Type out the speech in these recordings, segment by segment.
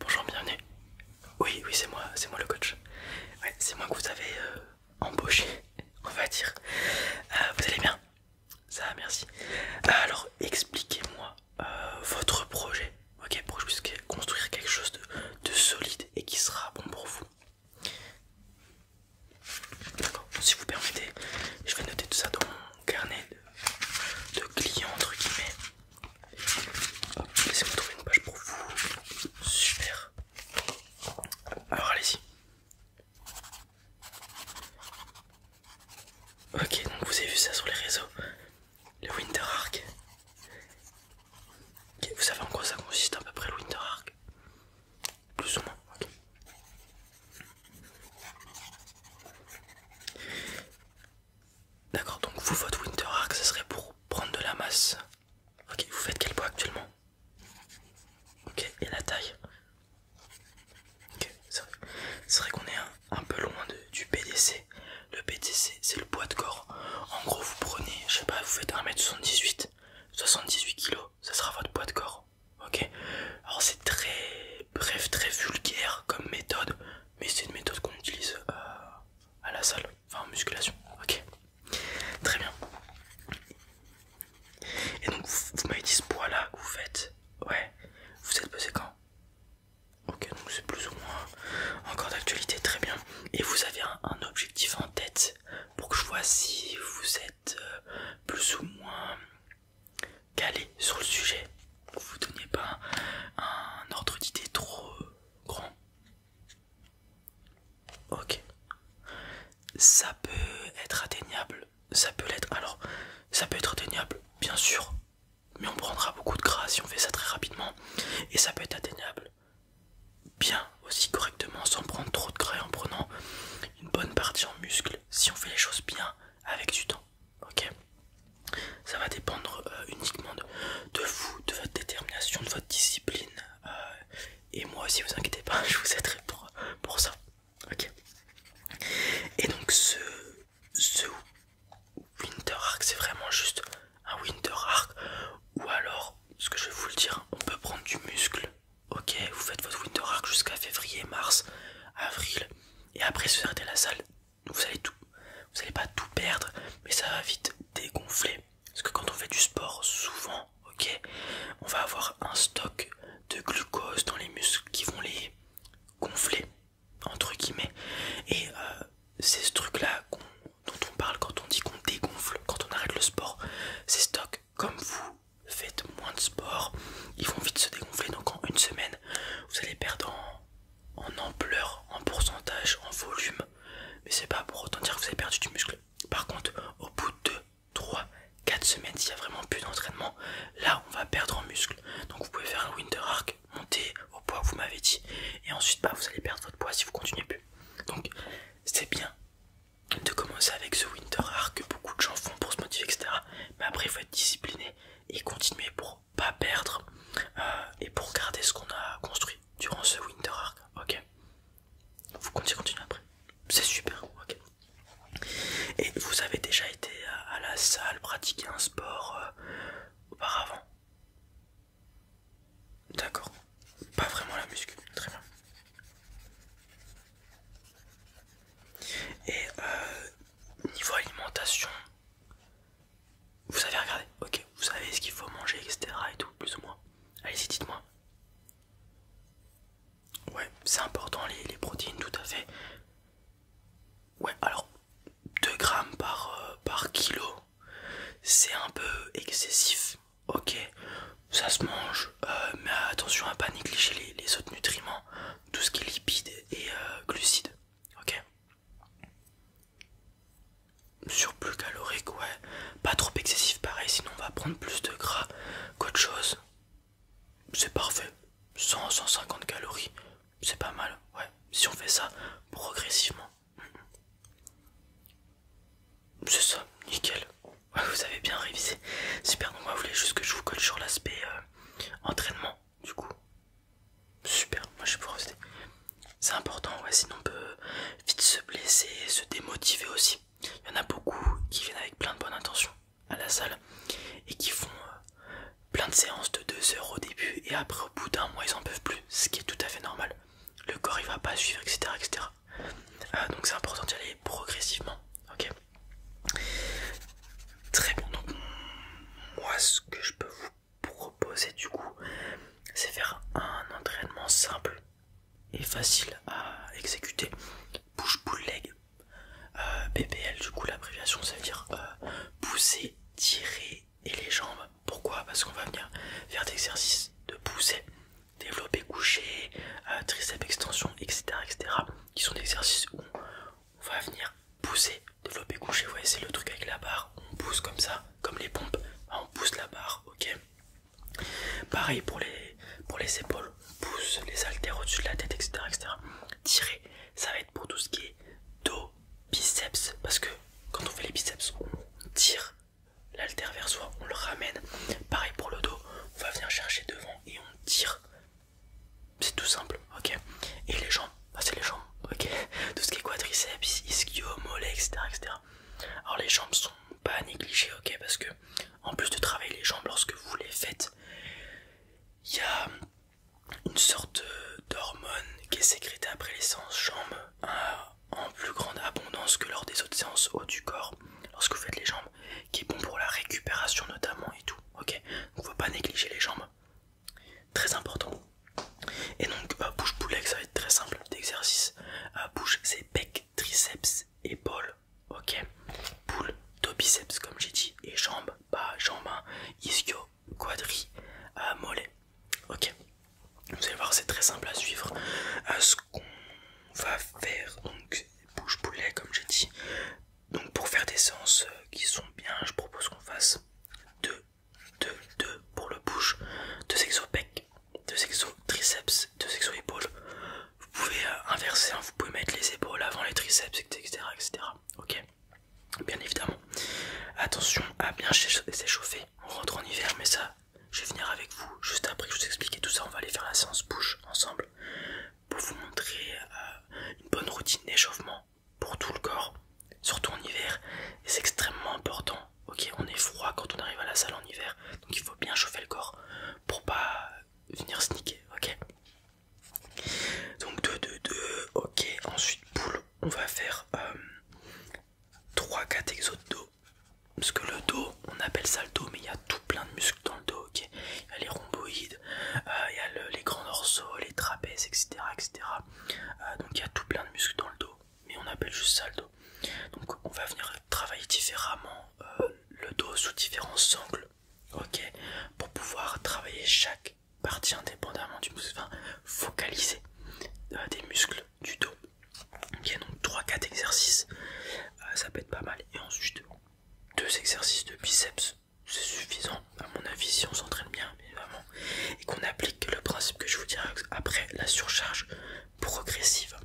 Bonjour, bienvenue. Oui, oui, c'est moi, c'est moi le coach. c'est moi que vous avez euh, embauché, on va dire. Euh, vous allez bien Ça merci. Alors, expliquez-moi euh, votre projet, ok Pour que construire quelque chose de, solide et qui sera bon pour vous. D'accord, si vous permettez, je vais noter tout ça dans mon carnet de, de clients, entre guillemets. Laissez-moi trouver une page pour vous. Super. Alors allez-y. Ok, donc vous avez vu ça sur les réseaux. Le Winter Arc. Ok, vous savez en quoi ça consiste à peu près le Winter Arc Plus ou moins. D'accord, donc vous, votre Winter Arc, ce serait pour prendre de la masse. Ok, vous faites quel poids actuellement Ok, et la taille Ok, c'est vrai, qu'on est un, peu loin du PDC. Le BDC, c'est le poids de corps. En gros, vous prenez, je sais pas, vous faites 1m78, 78 kg, ça sera votre poids de corps. Ok, alors c'est très Bref, très vulgaire comme méthode, mais c'est une méthode qu'on utilise euh, à la salle, enfin en musculation. Ok, très bien. Et donc, vous, m'avez dit ce poids là que vous faites, ouais, vous êtes pesé quand Ok, donc c'est plus ou moins encore d'actualité, très bien. Et vous avez un, objectif en tête pour que je vois si vous êtes euh, plus ou moins calé sur le sujet, vous donnez pas un ordre d'idée trop euh, grand. Ok, ça peut être atteignable, ça peut l'être. Alors, ça peut être atteignable, bien sûr, mais on prendra beaucoup de gras si on fait ça très rapidement, et ça peut être atteignable bien aussi correctement sans prendre trop de gras en prenant une bonne partie en muscle si on fait les choses bien avec du temps ok ça va dépendre euh, uniquement de, vous, de votre détermination, de votre discipline. Euh, et moi aussi, vous inquiétez pas, je vous aiderai pour, pour ça. Ok. Et donc ce, Winter Arc, c'est vraiment juste un Winter Arc. Ou alors, ce que je vais vous le dire, on peut prendre du muscle. Ok, vous faites votre Winter Arc jusqu'à février, mars, avril. Et après, vous arrêtez la salle vous allez tout, vous allez pas tout perdre, mais ça va vite dégonfler. Parce que quand on fait du sport, souvent, ok, on va avoir un stock de glucose dans les muscles qui vont les gonfler entre guillemets. Et euh, c'est ce truc-là dont on parle quand on dit qu'on dégonfle, quand on arrête le sport, ces stocks, comme vous faites moins de sport, ils vont vite se dégonfler. Donc en une semaine, vous allez perdre en, ampleur, en pourcentage, en volume, mais c'est pas pour autant dire que vous avez perdu du muscle. Par contre, au bout de 3, 4 semaines, s'il n'y a vraiment plus d'entraînement, là on va perdre en muscle. Donc vous pouvez faire un winter arc, monter au poids que vous m'avez dit, et ensuite bah, vous allez perdre votre poids si vous continuez plus. Donc c'est bien de commencer avec ce winter arc que beaucoup de gens font pour se motiver, etc. Mais après il faut être discipliné et continuer pour pas perdre euh, et pour garder ce qu'on a construit durant ce Winter Arc. Ok, vous comptez continuer après, c'est super. Ok, et vous avez déjà été euh, à, la salle pratiquer un sport euh, auparavant. D'accord, pas vraiment la muscu, très bien. Et euh, niveau alimentation, vous avez regarder, ok, vous savez ce qu'il faut manger, etc. et tout, plus ou moins. Allez-y, dites-moi. Ouais, c'est important les, protéines, tout à fait. Ouais, alors 2 grammes euh, par, kilo, c'est un peu excessif, ok, ça se mange, euh, mais attention à pas négliger les autres nutriments tout ce qui est lipide et euh, glucide glucides. Ok Surplus calorique, ouais. Pas trop excessif, pareil, sinon on va prendre plus de gras qu'autre chose. C'est parfait. 100-150 calories, c'est pas mal, ouais. Si on fait ça progressivement. C'est ça, nickel. vous avez bien révisé. Super, donc moi, vous voulez juste que je vous colle sur l'aspect euh, entraînement du coup super moi je pour rester c'est important sinon on peut vite se blesser se démotiver aussi il y en a beaucoup qui viennent avec plein de bonnes intentions à la salle et qui font euh, plein de séances de 2 heures au début et après au bout d'un mois ils en peuvent plus ce qui est tout à fait normal le corps il va pas suivre etc etc euh, donc c'est important d'y aller progressivement ok Très bon, donc moi ce que je peux vous proposer du coup, c'est faire un entraînement simple et facile à exécuter. Push bull leg, BPL euh, du coup l'abréviation ça veut dire euh, pousser, tirer et les jambes. Pourquoi Parce qu'on va venir faire des exercices de pousser, développer coucher, euh, triceps extension, etc., etc. qui sont des exercices où on va venir pousser, développer coucher vous voyez c'est le truc avec la barre, on pousse comme ça, comme les pompes, ah, on pousse la barre, ok Pareil pour les, pour les épaules, on pousse les haltères au-dessus de la tête, etc., etc. Tirer, ça va être pour tout ce qui est dos, biceps, parce que quand on fait les biceps, on tire l'haltère vers soi, on le ramène. Pareil pour le dos, on va venir chercher devant et on tire c'est tout simple, ok Et les jambes, ah, c'est les jambes, ok Tout ce qui est quadriceps, ischio, mollet, etc., Alors les jambes sont pas à négliger, ok Parce que en plus de travailler les jambes lorsque vous les faites, il y a une sorte d'hormone qui est sécrétée après les séances jambes euh, en plus grande abondance que lors des autres séances haut du corps. Lorsque vous faites les jambes, qui est bon pour la récupération notamment et tout. Ok, donc va pas négliger les jambes, très important. Et donc euh, bouche poulet ça va être très simple d'exercice. Euh, bouche, c'est bec, triceps, épaules Ok, poule, dos biceps comme j'ai dit, et jambes, bas, jambes, hein, ischio, quadri, euh, mollet. Ok, vous allez voir, c'est très simple à suivre. à ce qu'on va faire, donc bouche poulet comme j'ai dit, donc pour faire des séances euh, qui sont bien, je propose qu'on fasse 2, 2, 2 pour le push, 2 exos pec, 2 triceps, 2 exo épaules. Vous pouvez euh, inverser, hein, vous pouvez mettre les épaules avant les triceps, etc. etc. ok Bien évidemment. Attention à bien s'échauffer. On rentre en hiver, mais ça, je vais venir avec vous juste après que je vous explique tout ça. On va aller faire la séance bouche ensemble pour vous montrer euh, une bonne routine d'échauffement pour tout le corps, surtout en hiver. C'est extrêmement important. Ok, on est froid quand on arrive à la salle en hiver, donc il faut bien chauffer le corps pour pas venir sniquer. Ok. Donc 2, 2, 2. Ok. Ensuite poule, on va faire 3, euh, 4 exos de dos. Parce que le dos, on appelle ça le dos, mais il y a tout plein de muscles dans le dos, Il y a les rhomboïdes, euh, il y a les grands dorsaux, les trapèzes, etc. etc. Euh, donc il y a tout plein de muscles dans le dos, mais on appelle juste ça le dos. Donc on va venir travailler différemment euh, le dos sous différents angles, ok Pour pouvoir travailler chaque partie indépendamment du muscle, enfin focaliser des muscles du dos. Ok, donc 3-4 exercices, ça peut être pas mal. Et ensuite, deux exercices de biceps, c'est suffisant à mon avis si on s'entraîne bien évidemment et qu'on applique le principe que je vous dirai après la surcharge progressive.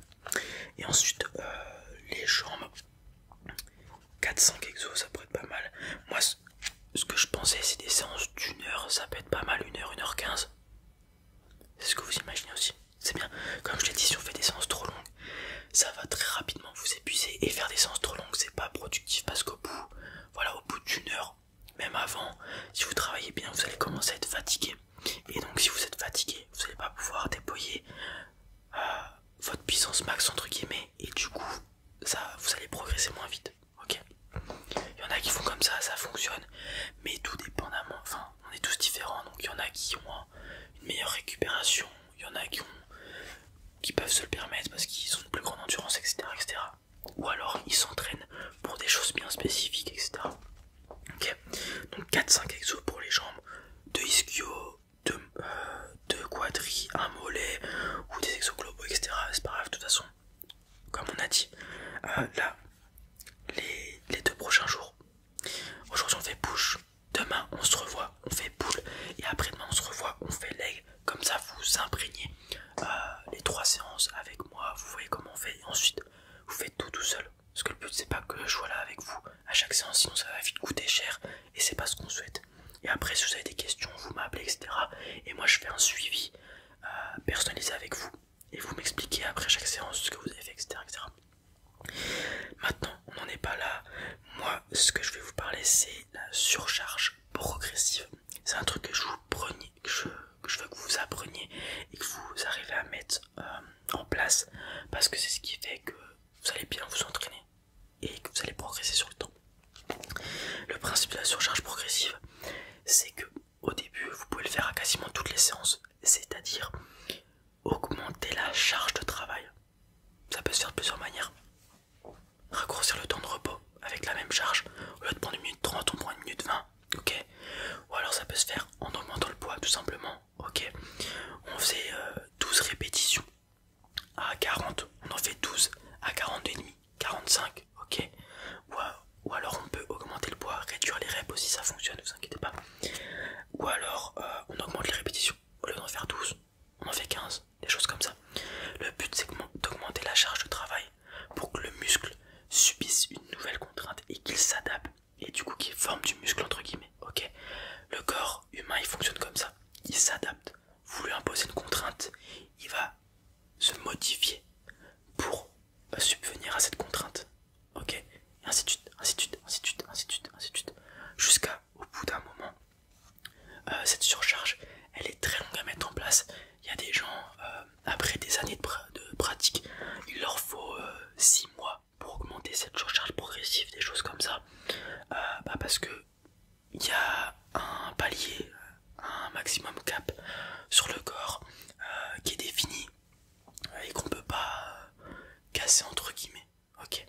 Et ensuite euh, les jambes 4-5 exos ça peut être pas mal. Moi ce que je pensais c'est des séances d'une heure, ça peut être pas mal, une heure, une heure quinze. C'est ce que vous imaginez aussi c'est bien. Comme je l'ai dit, si on fait des séances trop longues, ça va très rapidement vous épuiser. Et faire des séances trop longues, c'est pas productif parce qu'au bout, voilà, au bout d'une heure, même avant, si vous travaillez bien, vous allez commencer à être fatigué. Et donc, si vous êtes fatigué, vous n'allez pas pouvoir déployer euh, votre puissance max entre guillemets. Et du coup, ça, vous allez progresser moins vite. Ok. Il y en a qui font comme ça, ça fonctionne. Mais tout dépendamment, enfin, on est tous différents. Donc, il y en a qui ont une meilleure récupération. Il y en a qui, peuvent se le permettre parce qu'ils ont une plus grande endurance, etc. Ou alors ils s'entraînent pour des choses bien spécifiques, etc. Donc 4-5 exos pour les jambes, 2 ischio, 2 quadri quadris, un mollet ou des exos globaux, etc. C'est pas grave, de toute façon, comme on a dit, euh, là, les, les deux prochains jours. Aujourd'hui on fait push, Demain, on se revoit, on fait boule Et après-demain, on se revoit, on fait leg. Comme ça, vous imprégnez euh, les trois séances avec moi. Vous voyez comment on fait. Et ensuite, vous faites tout tout seul. Parce que le but, c'est pas que je sois là avec vous à chaque séance, sinon ça va vite coûter cher. Et c'est pas ce qu'on souhaite. Et après, si vous avez des questions, vous m'appelez, etc. Et moi, je fais un suivi euh, personnalisé avec vous. Et vous m'expliquez après chaque séance ce que vous avez fait, etc. etc. Maintenant, on n'en est pas là. Moi, ce que je vais vous parler, c'est la surcharge progressive. C'est un truc que je, vous que, je, veux que vous appreniez et que vous arrivez à mettre euh, en place parce que c'est ce qui fait que vous allez bien vous entraîner et que vous allez progresser sur le temps. Le principe de la surcharge progressive, c'est que au début, vous pouvez le faire à quasiment toutes les séances, c'est-à-dire augmenter la charge de travail. Ça peut se faire de plusieurs manières. Raccourcir le temps de repos avec la même charge. Au lieu de prendre une minute 30, on prend une minute 20. Ok Ou alors ça peut se faire en augmentant le poids tout simplement. Ok On fait 12 euh, répétitions à 40. On en fait 12 à 40,5, 45. Ok ou, ou alors on peut augmenter le poids, réduire les reps aussi, ça fonctionne, ne vous inquiétez pas. Ou alors euh, on augmente les répétitions. Au lieu d'en faire 12, on en fait 15, des choses comme ça. Le but c'est d'augmenter la charge de travail pour que le muscle subisse une nouvelle contrainte et qu'il s'adapte et du coup qu'il forme du muscle entre guillemets. ok le corps humain il fonctionne comme ça, il s'adapte. Vous lui imposez une contrainte, il va se modifier pour subvenir à cette contrainte. Ok Et ainsi de suite, ainsi de suite, ainsi de suite, ainsi Jusqu'à, au bout d'un moment, euh, cette surcharge, elle est très longue à mettre en place. Il y a des gens, euh, après des années de, pratique, il leur faut 6 euh, mois pour augmenter cette surcharge progressive, des choses comme ça. Bah, parce que il y a un palier, un maximum cap sur le corps qui est défini et qu'on peut pas euh, casser entre guillemets, ok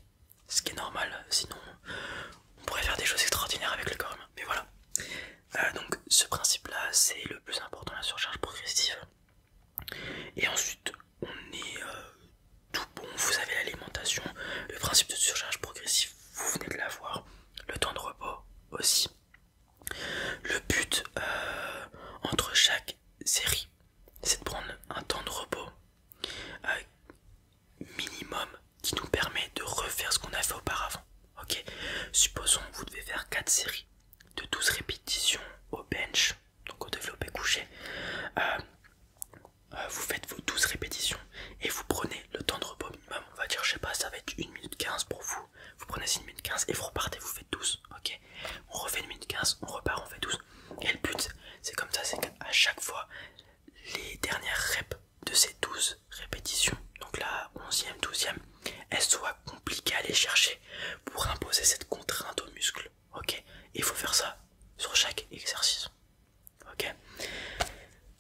Ce qui est normal, sinon on pourrait faire des choses extraordinaires avec le corps humain, mais voilà. Euh, donc ce principe là c'est le plus important, la surcharge progressive. Et ensuite on est euh, tout bon, vous avez l'alimentation, le principe de surcharge progressive, vous venez de l'avoir, le temps de repos aussi. Le but euh, entre chaque série, c'est de prendre un temps de repos euh, minimum qui nous permet de refaire ce qu'on a fait auparavant. Ok, supposons que vous devez faire 4 séries de 12 répétitions au bench, donc au développé couché. Euh, vous faites vos 12 répétitions et vous prenez le temps de repos minimum. On va dire, je sais pas, ça va être 1 minute 15 pour vous. Vous prenez une minute 15 et vous repartez, vous ok On refait une minute 15, on repart, on fait 12. Et le but, c'est comme ça, c'est qu'à chaque fois, les dernières reps de ces 12 répétitions, donc la 11e, 12e, elles soient compliquées à aller chercher pour imposer cette contrainte aux muscles ok Il faut faire ça sur chaque exercice, ok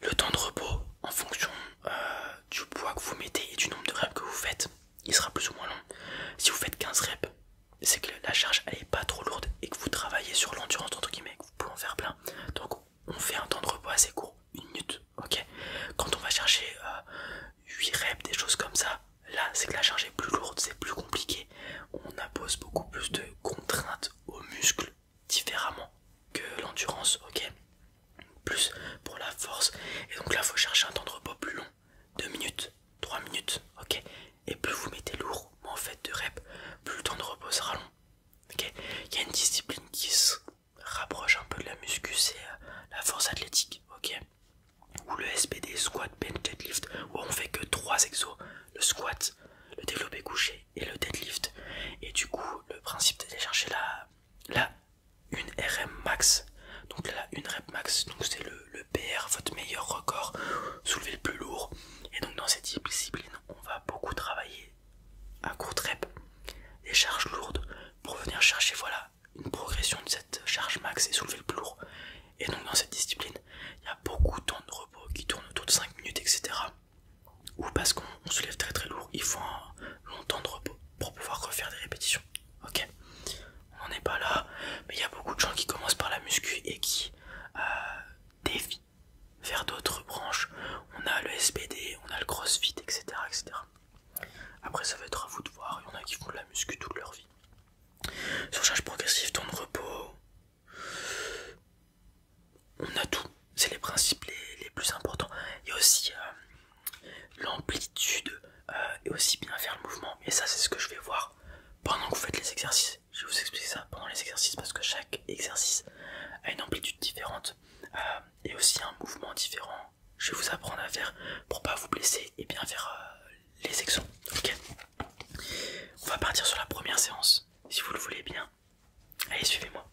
Le temps de repos, en fonction euh, du poids que vous mettez et du nombre de reps que vous faites, il sera plus ou moins long. Si vous faites 15 reps, c'est que la charge elle est pas trop lourde et que vous travaillez sur l'endurance entre guillemets, que vous pouvez en faire plein. Donc on fait un temps de repos assez court, une minute, ok Quand on va chercher 8 euh, reps, des choses comme ça, là c'est que la charge est plus lourde, c'est plus compliqué. On impose beaucoup plus de contraintes aux muscles différemment que l'endurance, ok Plus pour la force. Et donc là faut chercher un temps de repos plus long 2 minutes, 3 minutes, ok Et plus vous mettez lourd, en fait, de rep, plus le temps de repos sera long. Ok Il y a une discipline qui se rapproche un peu de la muscu, c'est euh, la force athlétique, ok Ou le SPD, squat, bench, deadlift, où on fait que 3 exos, le squat, le développé couché et le deadlift. Et du coup, le principe d'aller chercher la, la une RM max. Donc là, une rep max, donc c'est le, PR, votre meilleur record, soulever le plus lourd. Et donc dans cette discipline, on va beaucoup travailler à court rep, des charges lourdes, pour venir chercher voilà une progression de cette charge max et soulever le plus lourd. Et donc dans cette discipline, il y a beaucoup de temps de repos qui tourne autour de 5 minutes, etc. Ou parce qu'on se lève très très lourd, il faut un long temps de repos pour pouvoir refaire des répétitions. Ok, on n'en est pas là, mais il y a beaucoup de gens qui commencent par la muscu et qui euh, dévient vers d'autres branches. On a le SPD, on a le crossfit, etc. etc. Après, ça va être à vous de voir. Il y en a qui font de la muscu toute leur vie. Surcharge progressive, temps de repos. On a tout. C'est les principes les, plus importants. Il y a aussi euh, l'amplitude et euh, aussi bien faire le mouvement. Et ça, c'est ce que je vais voir pendant que vous faites les exercices. Je vais vous expliquer ça pendant les exercices parce que chaque exercice a une amplitude différente euh, et aussi un mouvement différent. Je vais vous apprendre à faire pour pas vous blesser et bien faire euh, les sections. Ok On va partir sur la première séance si vous le voulez bien. Allez, suivez-moi.